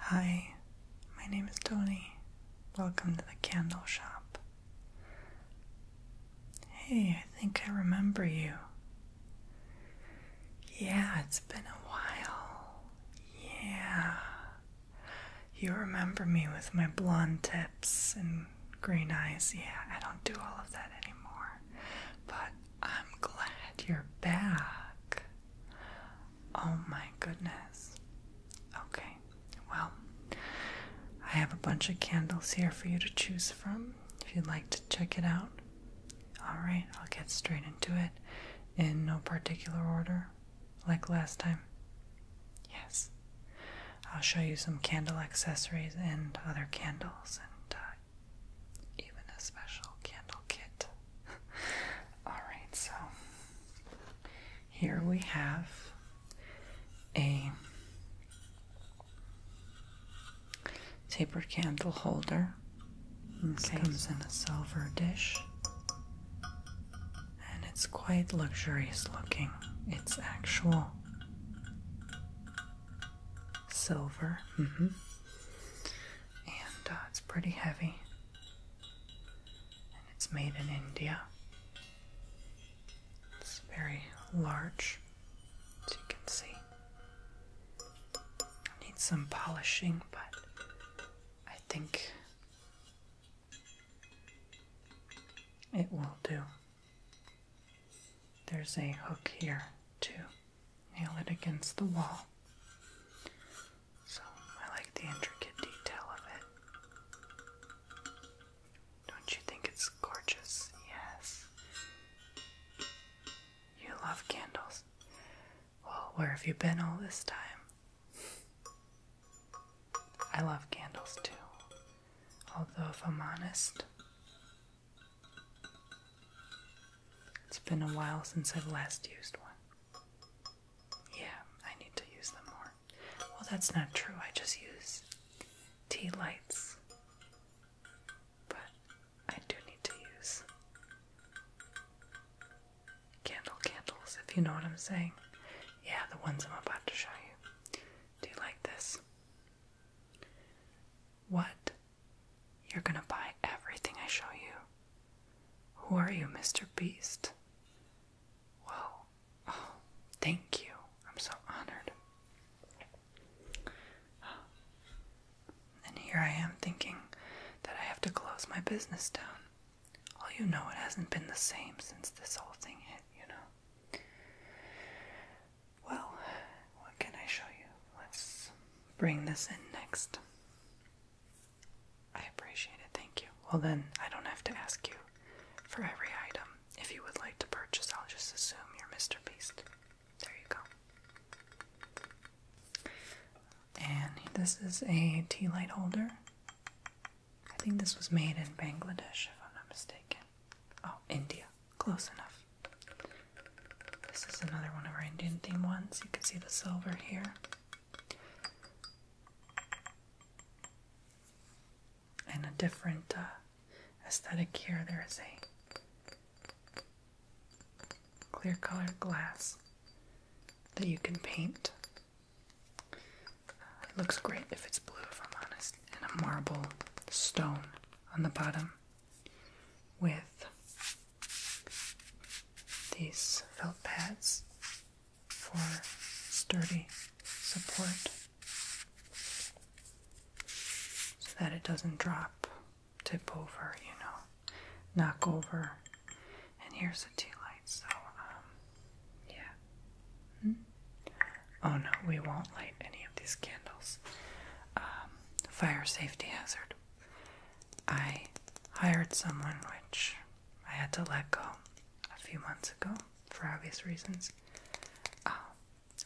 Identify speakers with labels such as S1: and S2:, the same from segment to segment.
S1: Hi, my name is Tony. Welcome to the candle shop. Hey, I think I remember you. Yeah, it's been a while. Yeah. You remember me with my blonde tips and green eyes. Yeah, I don't do all of that anymore. But I'm glad you're back. Oh my goodness. Okay, well, I have a bunch of candles here for you to choose from if you'd like to check it out. Alright, I'll get straight into it in no particular order, like last time. Yes. I'll show you some candle accessories and other candles, and uh, even a special candle kit. Alright, so here we have a taper candle holder. This comes in a silver dish and it's quite luxurious looking. It's actual silver. Mm-hmm and uh, it's pretty heavy. And it's made in India. It's very large, as you can see. It needs some polishing, but I think it will do. There's a hook here, too nail it against the wall. So I like the intricate detail of it. Don't you think it's gorgeous? Yes. You love candles. Well, where have you been all this time? I love candles too. Although, if I'm honest, it's been a while since I've last used one. Yeah, I need to use them more. Well, that's not true. I just use tea lights. But I do need to use candle candles, if you know what I'm saying. Yeah, the ones I'm about to show you. Do you like this? What you're gonna buy everything I show you. Who are you, Mr. Beast? Whoa. Oh, thank you. I'm so honored. And here I am thinking that I have to close my business down. All you know it hasn't been the same since this whole thing hit, you know. Well, what can I show you? Let's bring this in next. I appreciate it, thank you. Well, then I don't have to ask you for every item. If you would like to purchase, I'll just assume you're Mr. Beast. There you go. And this is a tea light holder. I think this was made in Bangladesh, if I'm not mistaken. Oh, India. Close enough. This is another one of our Indian theme ones. You can see the silver here. And a different uh, aesthetic here. There is a clear colored glass that you can paint. it looks great if it's blue, if I'm honest, and a marble stone on the bottom with these felt pads for sturdy support so that it doesn't drop, tip over, you know, knock over. And here's the tea light, so, um, yeah. Hmm? Oh no, we won't light any of these candles. Um, fire safety hazard. I hired someone which I had to let go a few months ago for obvious reasons, um,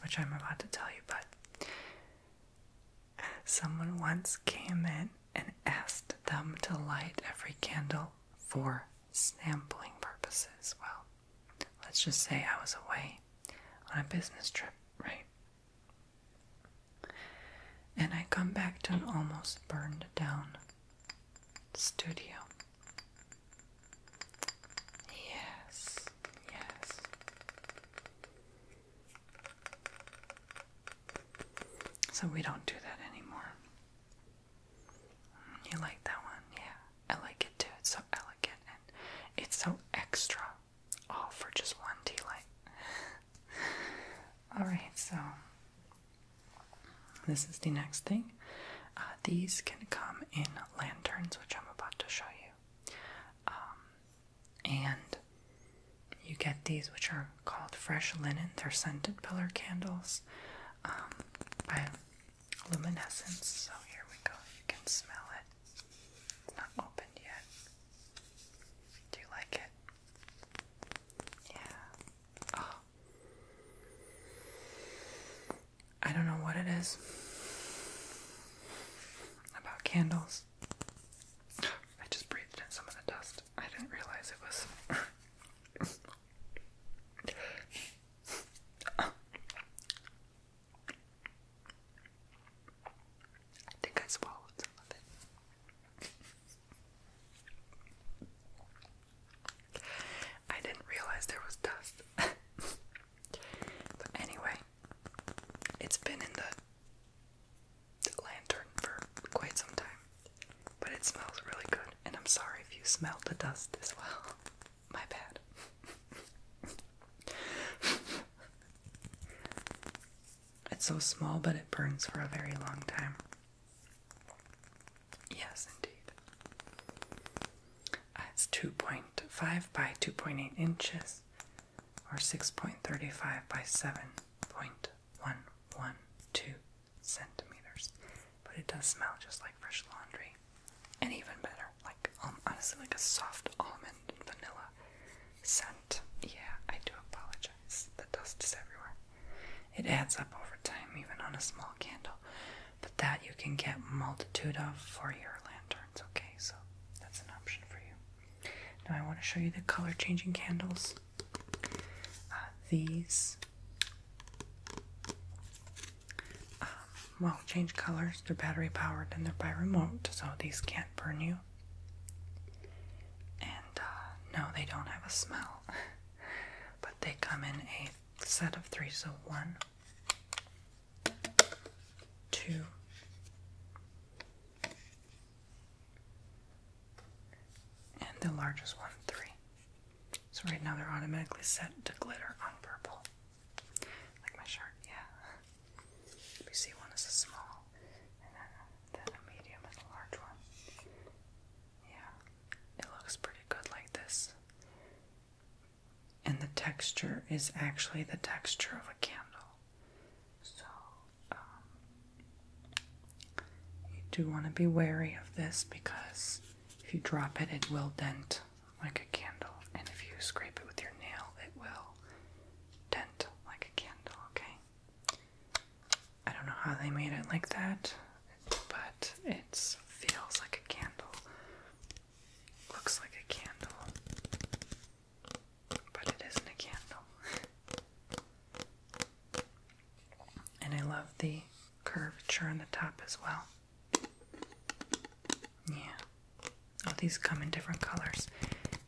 S1: which I'm about to tell you. But someone once came in and asked them to light every candle for sampling purposes. Well, let's just say I was away on a business trip, right? and I come back to an almost burned down studio. Yes, yes. So we don't do that anymore. You like that one? Yeah, I like it too. It's so elegant and it's so extra all oh, for just one tea light. Alright, so this is the next thing. Uh, these can come in lanterns, which I'm about to show you. Um, and you get these, which are called fresh linen. They're scented pillar candles um, by Luminescence. So here we go. You can smell it not opened yet. Do you like it? Yeah. Oh. I don't know what it is about candles. I just breathed in some of the dust. I didn't realize it was. I think I swallowed some of it. I didn't realize there was dust. but anyway, it's been in the, the lantern for quite some time. But it smells really good, and I'm sorry if you smelled the dust as well. My bad. It's so small, but it burns for a very long time. Yes, indeed. Uh, it's 2.5 by 2.8 inches, or 6.35 by 7.112 centimeters. But it does smell just like fresh laundry. And even better, like um, honestly, like a soft almond vanilla scent. Yeah, I do apologize. The dust is everywhere. It adds up over time, even on a small candle. But that you can get multitude of for your lanterns, okay? So that's an option for you. Now I want to show you the color changing candles. Uh, these um, well change colors. They're battery powered and they're by remote, so these can't burn you. And uh, no, they don't have a smell, but they come in a set of three. So one, two, and the largest one, three. So right now they're automatically set to glitter on purple. Like my shirt, yeah. We see one as a small, and then a, medium and a large one. Yeah, it looks pretty good like this. And the texture is actually the texture of a candle. So, um, you do want to be wary of this because if you drop it, it will dent like a candle. And if you scrape it with your nail, it will dent like a candle, okay? I don't know how they made it like that, but it feels like a candle. Looks like a candle, but it isn't a candle. and I love the curvature on the top as well. Yeah. Oh, these come in different colors.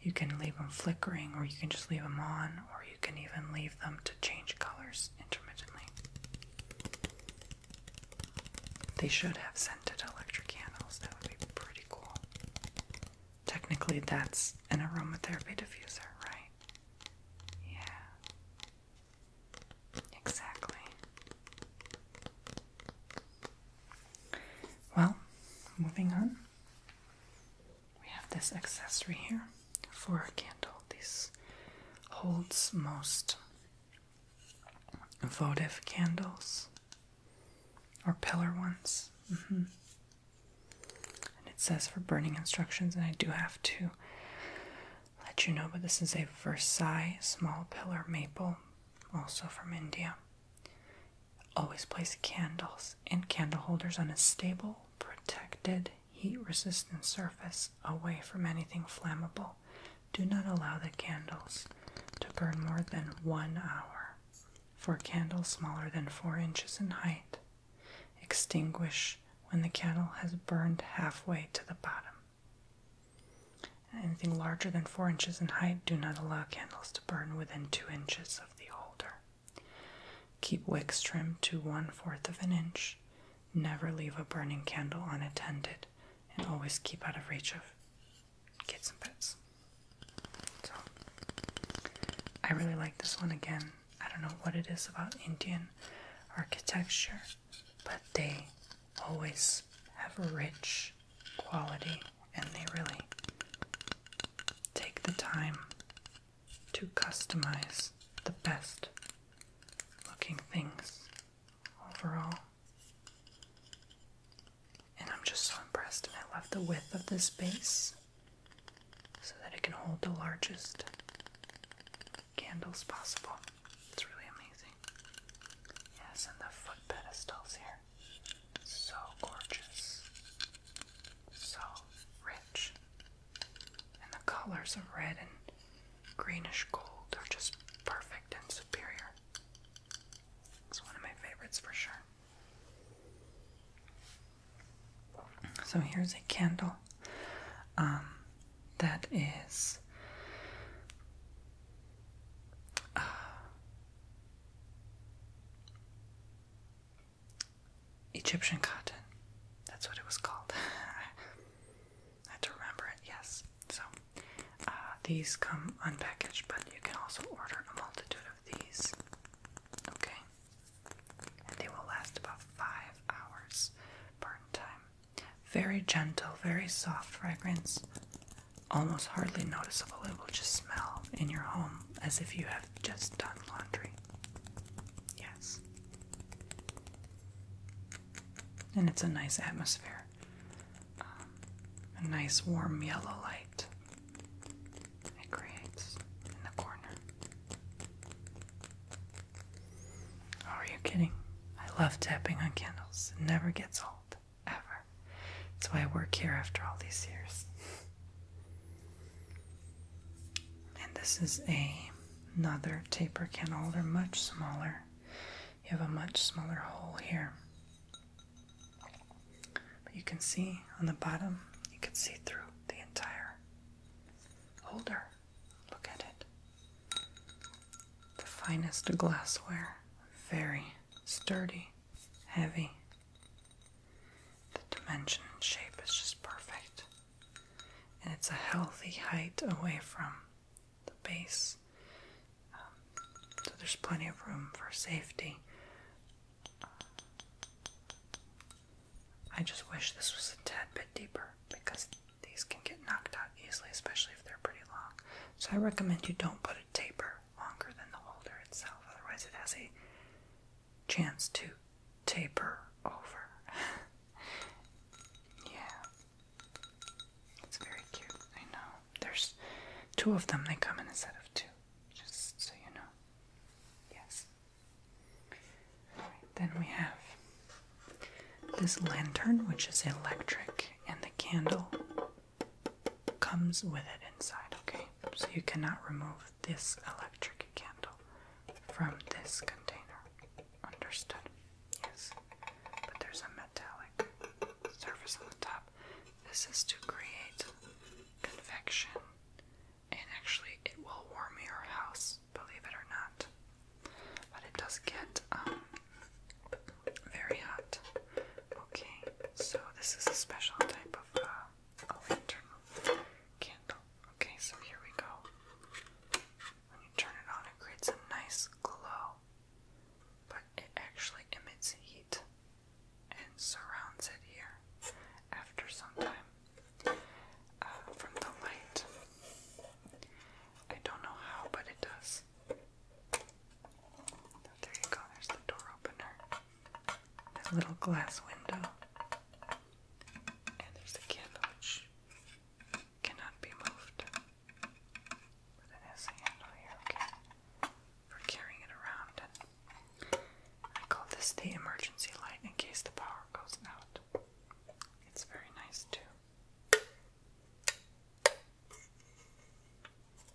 S1: You can leave them flickering, or you can just leave them on, or you can even leave them to change colors intermittently. They should have scented electric candles. That would be pretty cool. Technically, that's an aromatherapy diffuser, right? Yeah. Exactly. Well, moving on, we have this accessory here for a candle. This holds most votive candles or pillar ones. Mm-hmm. And it says for burning instructions, and I do have to let you know, but this is a Versailles small pillar maple, also from India. Always place candles in candle holders on a stable, protected, heat resistant surface away from anything flammable. Do not allow the candles to burn more than one hour. For candles smaller than four inches in height, extinguish when the candle has burned halfway to the bottom. Anything larger than four inches in height, do not allow candles to burn within two inches of the holder. Keep wicks trimmed to one fourth of an inch. Never leave a burning candle unattended, and always keep out of reach of kids and pets. So, I really like this one again. I don't know what it is about Indian architecture, but they always have rich quality and they really take the time to customize the best looking things overall. And I'm just so impressed, I love the width of this base so that it can hold the largest candles possible. It's really amazing. Yes, and the foot pedestals here. So gorgeous. So rich. And the colors of red and greenish gold are just perfect and superior. It's one of my favorites for sure. So here's a candle um, that is uh, Egyptian cotton. That's what it was called. I remember it, yes. So uh, these come unpackaged, but you can also order a multitude of these. Okay? they will last about five hours burn time. Very gentle, very soft fragrance almost hardly noticeable, it will just smell in your home as if you have just done laundry. Yes. And it's a nice atmosphere, um, a nice warm yellow light it creates in the corner. Oh, are you kidding? I love tapping on candles, it never gets old ever. That's why I work here after all these years. and this is a another taper can holder, much smaller. You have a much smaller hole here. But you can see on the bottom, you can see through the entire holder. Look at it. The finest glassware, very sturdy heavy. The dimension and shape is just perfect. And it's a healthy height away from the base. Um, so there's plenty of room for safety. I just wish this was a tad bit deeper because these can get knocked out easily, especially if they're pretty long. So I recommend you don't put a taper longer than the holder itself, otherwise, it has a chance to taper over. yeah. It's very cute, I know. There's two of them, they come in a set of two, just so you know. Yes. then we have this lantern, which is electric, and the candle comes with it inside, okay? So you cannot remove this electric candle from this container. Understood? Yes. But there's a metallic surface on the top. This is to create convection, and actually, it will warm your house, believe it or not. But it does get um, very hot. Okay, so this is a special type of uh, a lantern candle. Okay, so here we go. When you turn it on, it creates a nice glow, but it actually emits heat and surrounds it here after some time uh, from the light. I don't know how, but it does. Oh, there you go, there's the door opener. That little glass window. And there's the candle which cannot be moved. But it has a handle here, okay? For carrying it around. I call this the emergency light in case the power goes out. It's very nice too.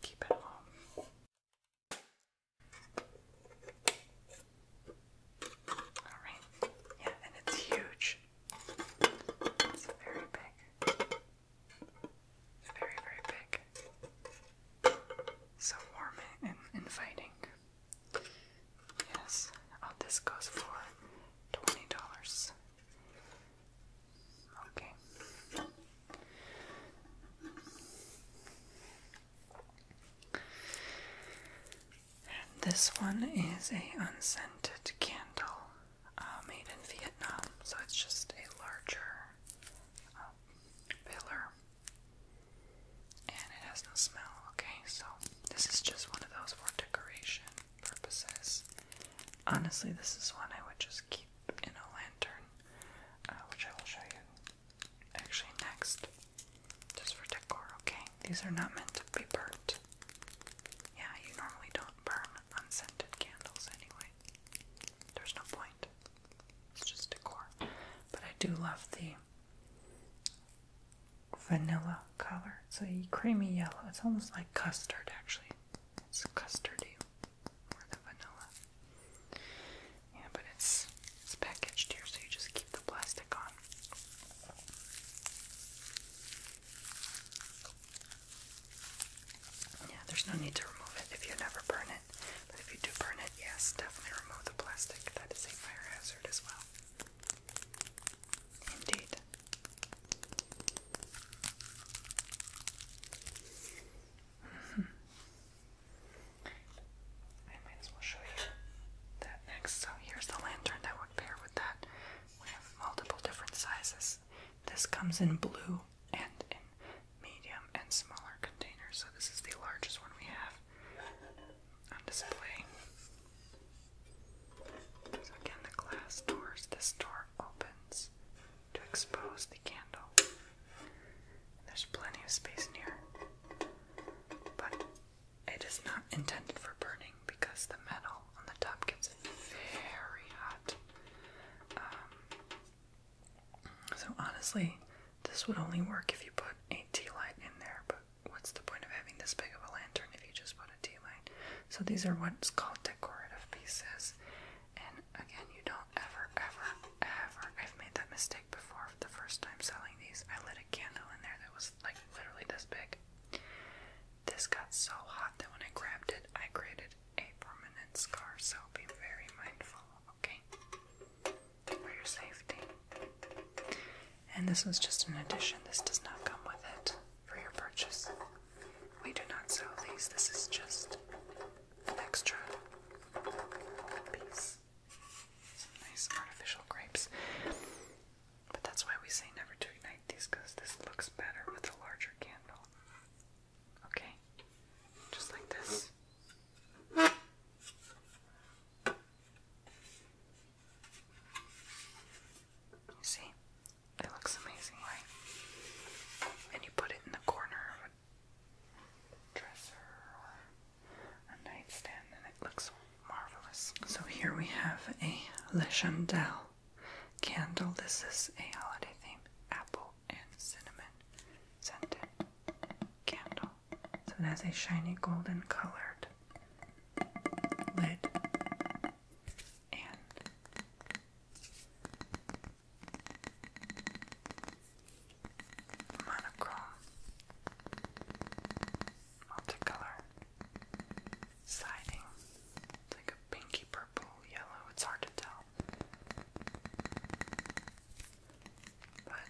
S1: Keep it home. Alright. Yeah, and it's huge. It's very big. Very, very big. So warm and inviting. Yes. Oh, this goes for $20. Okay. this one is a unscented candle uh, made in Vietnam, so it's just a larger pillar, um, and it has no smell. Okay, so this is just one of those for decoration purposes. Honestly, this is one I would just keep in a lantern, uh, which I will show you actually next, just for decor, okay? These are not meant to be burnt. Yeah, you normally don't burn unscented candles anyway. There's no point. It's just decor. But I do love the vanilla color. It's a creamy yellow. It's almost like custard, actually. It's custardy or the vanilla. Yeah, but it's it's packaged here, so you just keep the plastic on. Yeah, there's no need to remove it if you never burn it. But if you do burn it, yes, definitely remove the plastic. That is a fire hazard as well. Indeed. I might as well show you that next. So here's the lantern that would pair with that. We have multiple different sizes. This comes in blue and in medium and smaller containers. So this is the largest one we have on display. So again, the glass doors. This door opens to expose the candle. there's plenty of space in here, but it is not intended for burning because the metal on the top gets very hot. Um, so, honestly, this would only work if you put a tea light in there, but what's the point of having this big of a lantern if you just put a tea light? So, these are what's called decorative pieces, and Again, you don't ever, ever, ever. I've made that mistake before the first time selling these. I lit a candle in there that was like literally this big. This got so hot that when I grabbed it, I created a permanent scar, so be very mindful, okay? For your safety. And this was just an addition, this does not come with it for your purchase. We do not sell these, this is just an extra piece. nice artificial grapes. But that's why we say never to ignite these because this looks better with a larger candle. Okay? Just like this. You see? It looks amazing, right? and you put it in the corner of a dresser or a nightstand, and it looks marvelous. So here we have a Le candle. This is a holiday theme, apple and cinnamon scented candle. So it has a shiny golden colored lid monochrome, multicolor, siding, it's like a pinky purple, yellow, it's hard to tell. But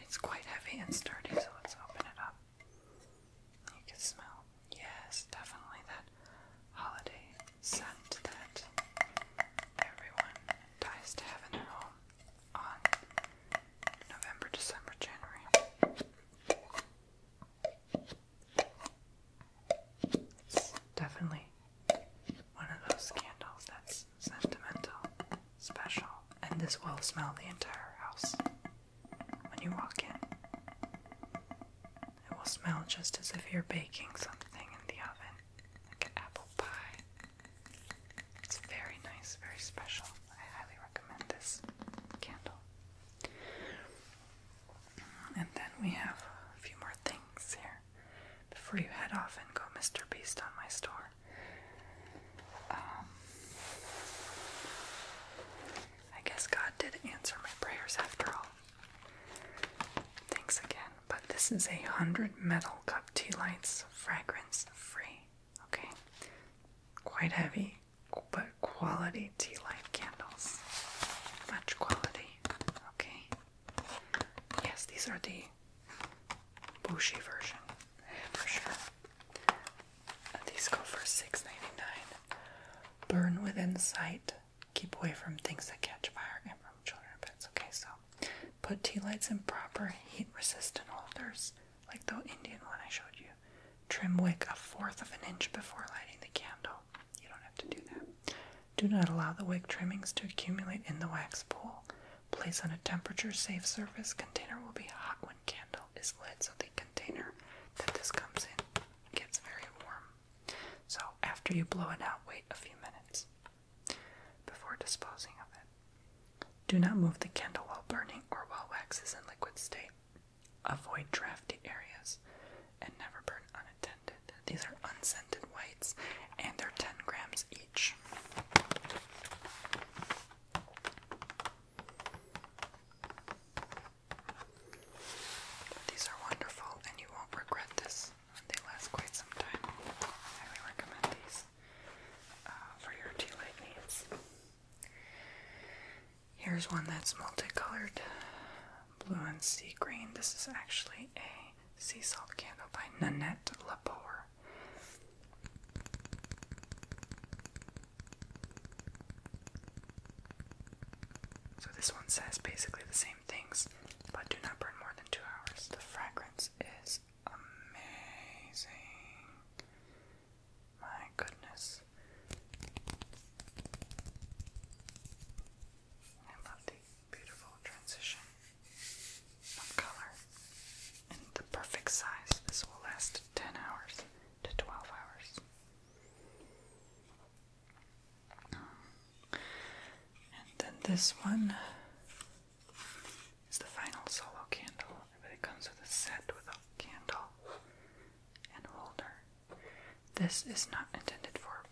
S1: it's quite heavy and sturdy, so let's open it up. You can smell. Yes, definitely that holiday scent that everyone dies to have in home on November, December, January. definitely one of those candles that's sentimental, special, and this will smell the entire house when you walk in. It will smell just as if you're baking something in the oven, like an apple pie. It's very nice, very special. I highly recommend this candle. And then we have a few more things here before you head off and go Mr. Beast on my store. Um, I guess God did answer my prayers after all. Thanks again but this is a hundred metal cup tea lights, fragrance free. Okay, quite heavy, but quality tea light candles. Much quality. Okay. Yes, these are the Bushi version for sure. These go for 6 Burn within sight keep away from things that catch fire and from children and pets. Okay, so put tea lights in proper heat resistant holders, like the Indian one I showed you. Trim wick a fourth of an inch before lighting the candle. You don't have to do that. Do not allow the wick trimmings to accumulate in the wax pool. Place on a temperature safe surface. Container will be hot when candle is lit, so the container that this comes in gets very warm. So, after you blow it out, wait a few minutes before disposing of it. Do not move the candle while burning or while wax is in liquid state. Avoid drafty areas and never burn unattended. These are unscented whites and they're 10 grams each. These are wonderful and you won't regret this. They last quite some time. highly recommend these uh, for your tea light needs. Here's one that's multicolored blue and sea green. This is actually a sea salt candle by Nanette Lepore. So this one says basically the same things but do not burn more than two hours. The fragrance is amazing. My goodness. I love the beautiful transition of color and the perfect size. This will last 10 hours to 12 hours. And then this one is the final solo candle. It comes with a set with a candle and holder. This is not intended for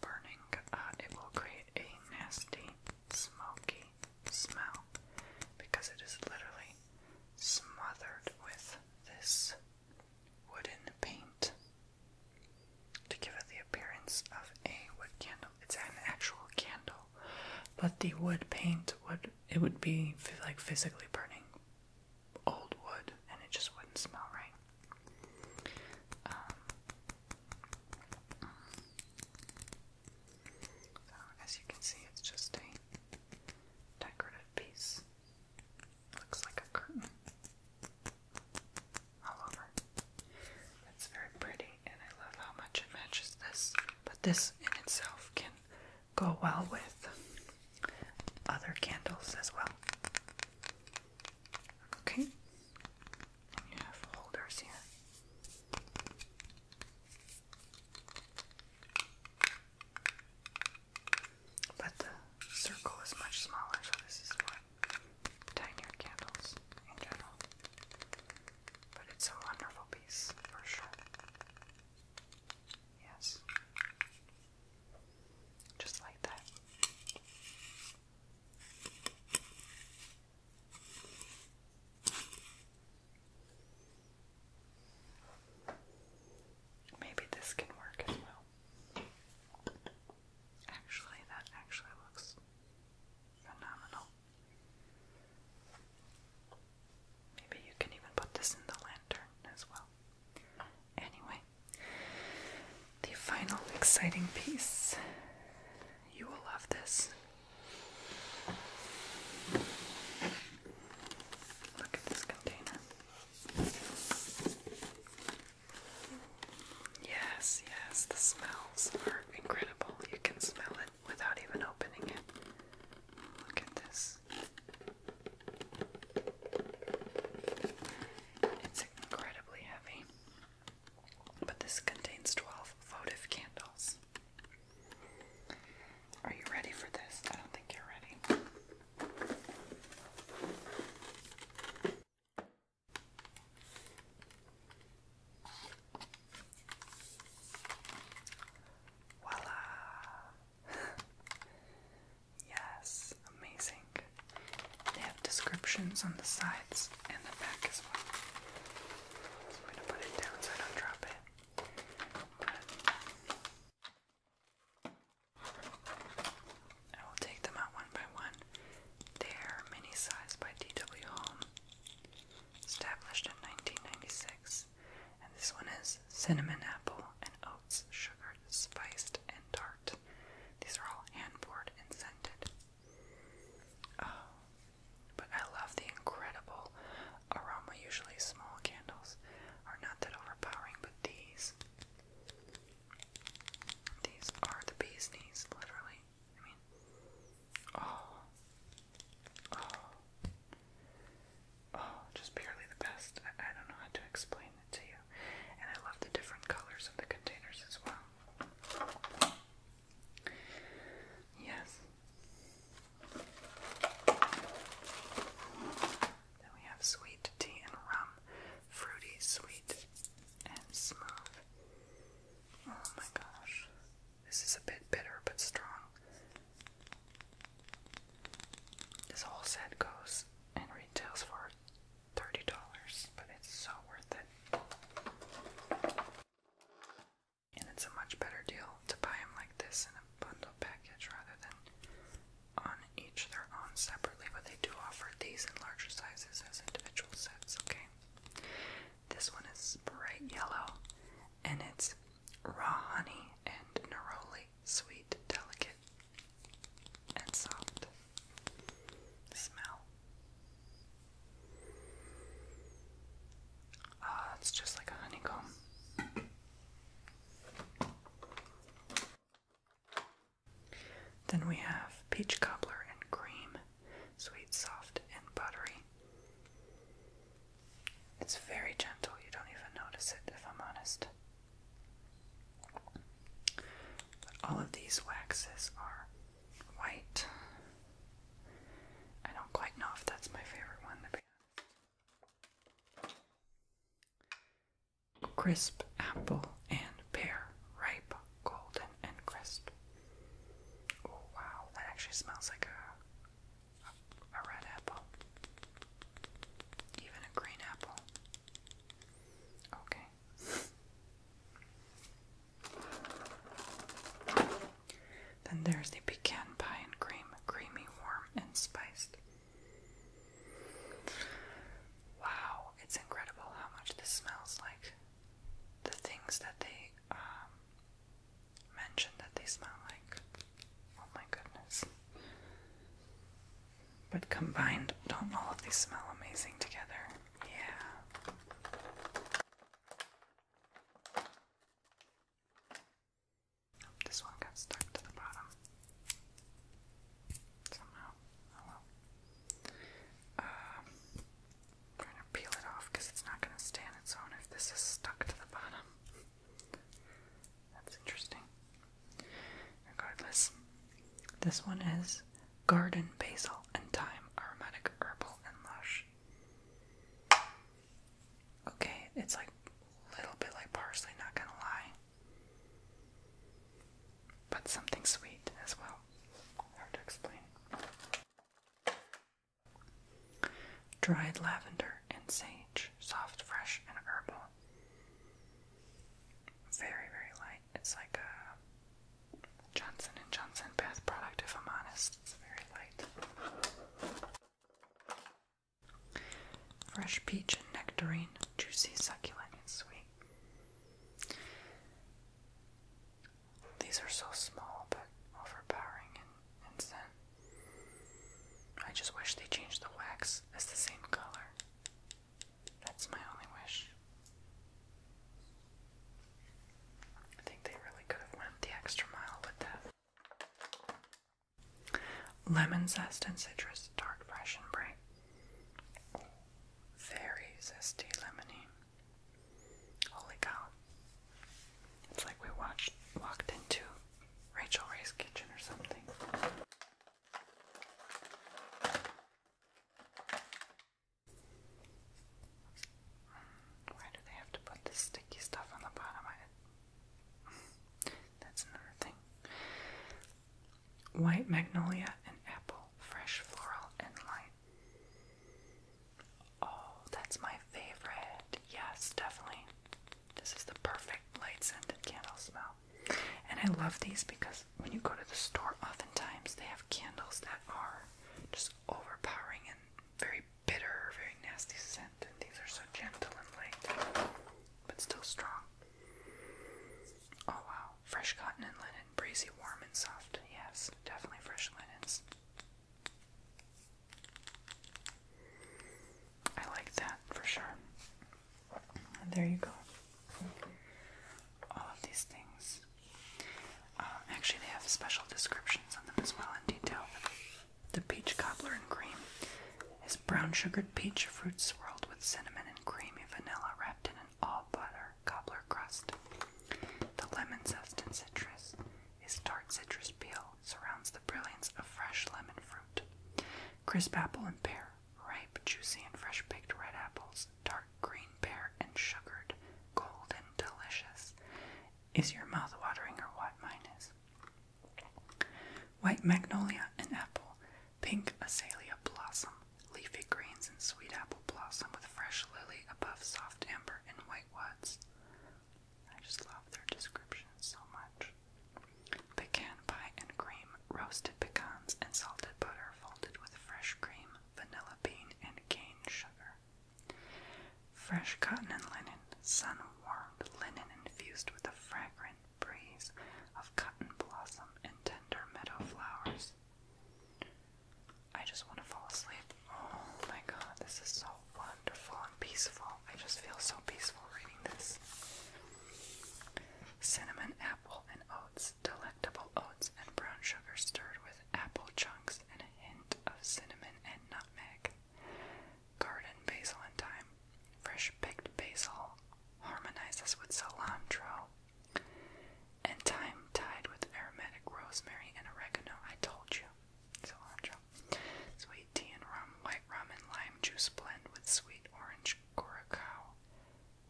S1: burning, uh, it will create a nasty, smoky smell because it is literally smothered with this wooden paint to give it the appearance of a wood candle. It's an actual candle, but the wood paint would it would be like physically burning old wood, and it just wouldn't smell right. Um, so as you can see, it's just a decorative piece. Looks like a curtain all over. It's very pretty, and I love how much it matches this. But this in itself can go well with other candles as well. Okay, you have holders here. But the circle is much smaller, so this is what tinier candles in general. But it's a wonderful piece for sure. Yes. Just like that. Maybe this can work as well. Actually, that actually looks phenomenal. Maybe you can even put this in the lantern as well. Anyway, the final exciting piece. You will love this. Look at this container. Yes, yes, the smells are incredible. You can smell it without even opening it. Look at this. It's incredibly heavy. But this contains 12 votive candles. Are you ready for this? I don't think you're ready. Voila! yes, amazing. They have descriptions on the sides and the back as well. So I'm going to put it down so I don't drop it. I will take them out one by one. They are mini-sized by D.W. Home, established in 1996, and this one is cinnamon apple and oats, sugared, spiced, and tart. These are all hand-poured and scented. Oh, but I love the incredible aroma. Usually small candles are not that overpowering, but these these are the bee's knees, literally. I mean, oh, oh, oh, just purely the best. I, don't know how to explain it to you. And I love the different colors of the containers as well. Yes. Then we have sweet tea and rum, fruity, sweet, and smooth. Oh my gosh. This is a bit bitter but strong. This whole set goes and retails for $30, but it's so worth it. And it's a much better deal to buy them like this in a bundle package rather than on each their own separately, but they do offer these in larger sizes as individual sets, okay? This one is bright yellow and it's raw honey and neroli, sweet, delicate, and soft. Smell. Ah, it's just like a honeycomb. Then we have peach cobbler and cream, sweet, soft, and buttery. It's very gentle, you don't even notice it if I'm honest. all of these waxes are white. I don't quite know if that's my favorite one to be honest crisp apple and pear, ripe, golden, and crisp. Oh wow, that actually smells like a, a red apple. Even a green apple. Okay. Then there's the pecan pie and cream, creamy, warm, and spiced. Wow, it's incredible how much this smells like. The things that they um, mentioned that they smell like. Oh my goodness. But combined, don't all of these smell amazing together? Yeah. this one got stuck to the bottom somehow. Oh well. Um, i to peel it off because it's not going to stay on its own if this is stuck to the bottom. That's interesting. Regardless, this one is garden basil and thyme aromatic herbal and lush. Okay, it's like a little bit like parsley, not gonna lie. But something sweet as well. Hard to explain. Dried lavender and sage, soft, fresh, and herbal. Very, very light. It's like a Johnson and Johnson bath product, if I'm honest. It's very light. Fresh peach and nectarine, juicy, succulent, and sweet. These are so small but overpowering and, and scent. I just wish they changed the wax as the same color. That's my only wish. I think they really could have went the extra mile with that. Lemon zest and citrus, dark, fresh, and bright. Very zesty lemony. Holy cow. It's like we watched walked into Rachel Ray's kitchen or something. Why do they have to put this sticky stuff on the bottom That's another thing white magnolia and apple, fresh floral and light. Oh, that's my favorite. Yes, definitely. This is the perfect light scented candle smell. And I love these because when you go to the store, oftentimes they have candles that are just overpowering and very bitter, very nasty scent. And these are so gentle and light, but still strong. Oh wow, fresh cotton and linen, breezy, warm, and soft. Yes, definitely fresh linens. I like that for sure. there you go. All of these things. Um, actually, they have special descriptions on them as well in detail. The peach cobbler and cream is brown sugared peach fruit swirled with cinnamon and creamy vanilla wrapped in an all butter cobbler crust. The lemon zest and citrus is tart citrus peel, surrounds the brilliance of fresh lemon fruit. Crisp apple and pear, ripe, juicy, and fresh picked red apples, dark green pear and sugared, cold and delicious. Is your mouth watering or what mine is? White magnolia and apple, pink azalea blossom, leafy greens and sweet apple blossom with fresh lily above soft amber and white woods. I just love their descriptions so much. Pecan pie and cream, roasted pecans and salted butter folded with fresh cream, vanilla bean, and cane sugar. Fresh cotton and linen, sun warmed linen infused with a fragrance breeze of cotton blossom and tender meadow flowers. I just want to fall asleep. Oh my god, this is so wonderful and peaceful. I just feel so peaceful reading this. Cinnamon, apple, and oats, delectable oats and brown sugar stirred with apple chunks and a hint of cinnamon and nutmeg. Garden, basil, and thyme Fresh picked basil harmonizes with cilantro, and thyme tied with aromatic rosemary and oregano. I told you, cilantro. Sweet tea and rum, white rum and lime juice blend with sweet orange curacao,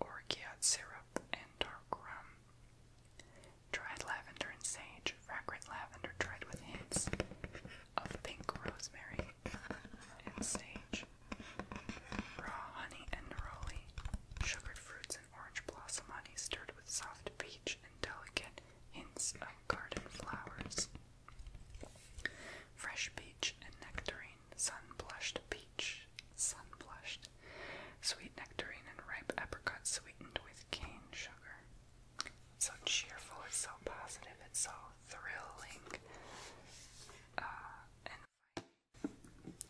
S1: orgeat syrup, and dark rum. Dried lavender and sage, fragrant lavender dried with hints of pink rosemary and sage, raw honey and neroli, sugared fruits and orange blossom honey stirred with soft peach and delicate hints of garden flowers. Fresh peach and nectarine, sunblushed peach, sunblushed, sweet nectarine and ripe apricot, sweetened with cane sugar. so cheerful, it's so positive, it's so thrilling, uh, and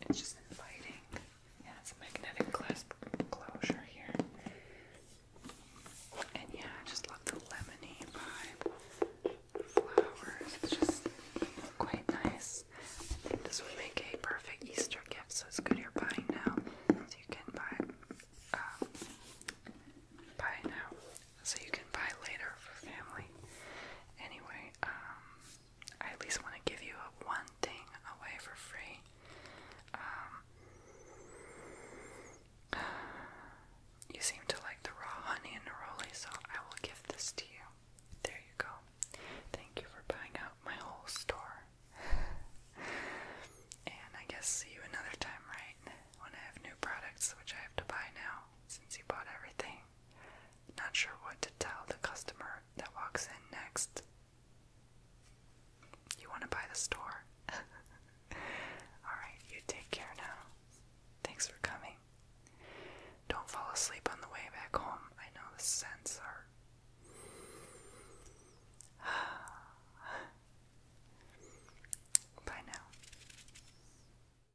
S1: it's just inviting. Yeah, it's magnetic clasp closure here. And yeah, just love the lemony vibe. Flowers. It's just quite nice. this would make a perfect Easter gift, so it's good you're buying now. So you can buy um, buy now so you can buy later for family. Anyway, um, I at least want to give you one thing away for free. Um, you seem to like the raw honey and neroli, so I will give this to you. There you go. Thank you for buying out my whole store. and I guess see you another time, right? When I have new products, which I have to buy now since you bought everything. Not sure what to tell the customer that walks in next. You want to buy the store? Alright, you take care now. Thanks for coming. Don't fall asleep on the way back home. I know the scents are. Bye now.